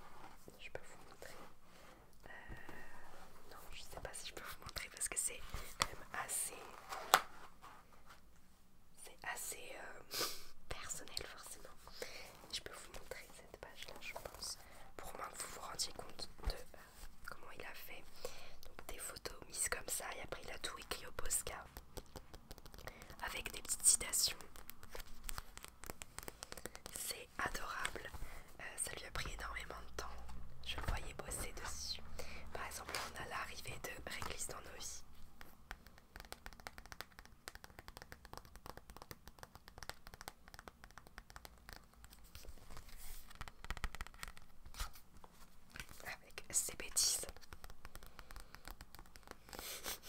je peux vous montrer euh, non, je sais pas si je peux vous montrer parce que c'est quand même assez. C'est assez euh, personnel, forcément. Je peux vous montrer cette page-là, je pense, pour moins que vous vous rendiez compte de euh, comment il a fait. Donc, des photos mises comme ça, et après, il a tout écrit au Posca avec des petites citations adorable. Euh, ça lui a pris énormément de temps. Je le voyais bosser dessus. Par exemple, on a l'arrivée de Réglisse dans nos vies. Avec ses bêtises.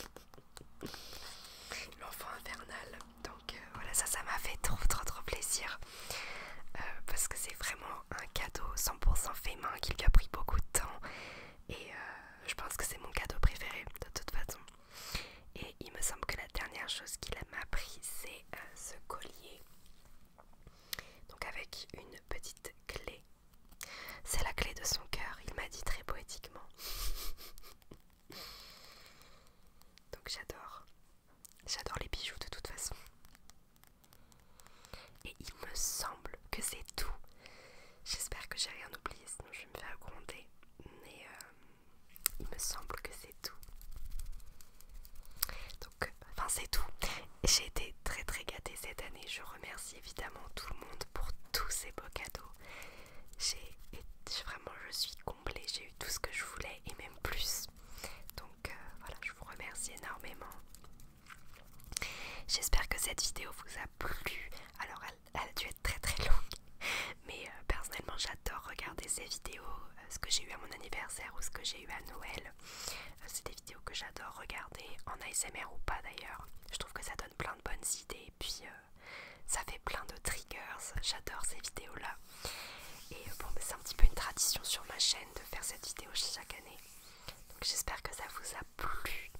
*laughs* L'enfant infernal. Donc euh, voilà, ça, ça m'a fait trop, trop, trop plaisir. Euh, parce que c'est vraiment un cadeau 100% fait main qui lui a pris beaucoup de temps. Et euh, je pense que c'est mon cadeau préféré de toute façon. Et il me semble que la dernière chose qu'il m'a pris, c'est ce collier. Donc avec une petite clé. C'est la clé de son cœur, il m'a dit très poétiquement. *laughs* Donc j'adore. J'adore les bijoux de toute façon. Et il me semble que c'est tout. J'espère que j'ai rien oublié, sinon je me faire gronder. Mais euh, il me semble que c'est tout. Donc, enfin c'est tout. J'ai été très très gâtée cette année. Je remercie évidemment tout le monde pour tous ces beaux cadeaux. J'ai vraiment, je suis comblée, j'ai eu tout ce que je voulais et même plus. Donc euh, voilà, je vous remercie énormément. J'espère que cette vidéo vous a plu. Alors elle, a dû être très très longue, mais euh, personnellement j'adore regarder ces vidéos, euh, ce que j'ai eu à mon anniversaire ou ce que j'ai eu à Noël. C'est des vidéos que j'adore regarder en ASMR ou pas d'ailleurs. Je trouve que ça donne plein de bonnes idées puis euh, ça fait plein de triggers, j'adore ces vidéos-là. Et euh, bon, c'est un petit peu une tradition sur ma chaîne de faire cette vidéo chaque année. Donc j'espère que ça vous a plu.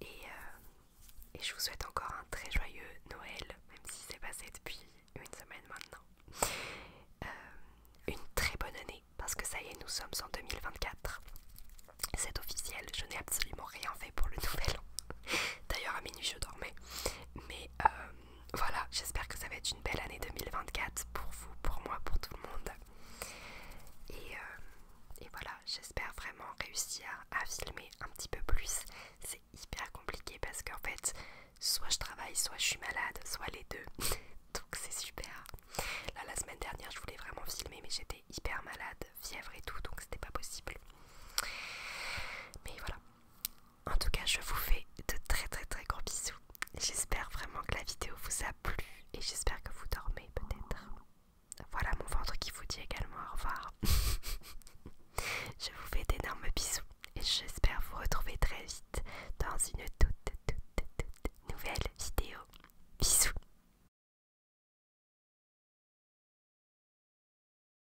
Et, euh, je vous souhaite encore un très joyeux Noël, même si c'est passé depuis une semaine maintenant. une très bonne année, parce que ça y est, nous sommes en 2024. C'est officiel, je n'ai absolument rien fait pour le *laughs* nouvel an. D'ailleurs à minuit je dormais. Mais euh, voilà, j'espère que ça va être une belle année 2024 pour vous, pour moi, pour tout le monde. Et, euh, et voilà, j'espère vraiment réussir à filmer un petit peu plus. C'est hyper compliqué parce qu'en fait, soit je travaille, soit je suis malade, soit les deux. *laughs* Donc c'est super. Là, la semaine dernière, je voulais vraiment filmer, mais j'étais hyper malade, fièvre et tout, donc c'était pas possible. Mais voilà. En tout cas, je vous fais de très très très gros bisous. J'espère vraiment que la vidéo vous a plu et j'espère que vous dormez peut-être. Voilà mon ventre qui vous dit également au revoir. *laughs* je vous fais d'énormes bisous et j'espère vous retrouver très vite dans une toute toute toute nouvelle vidéo. Bisous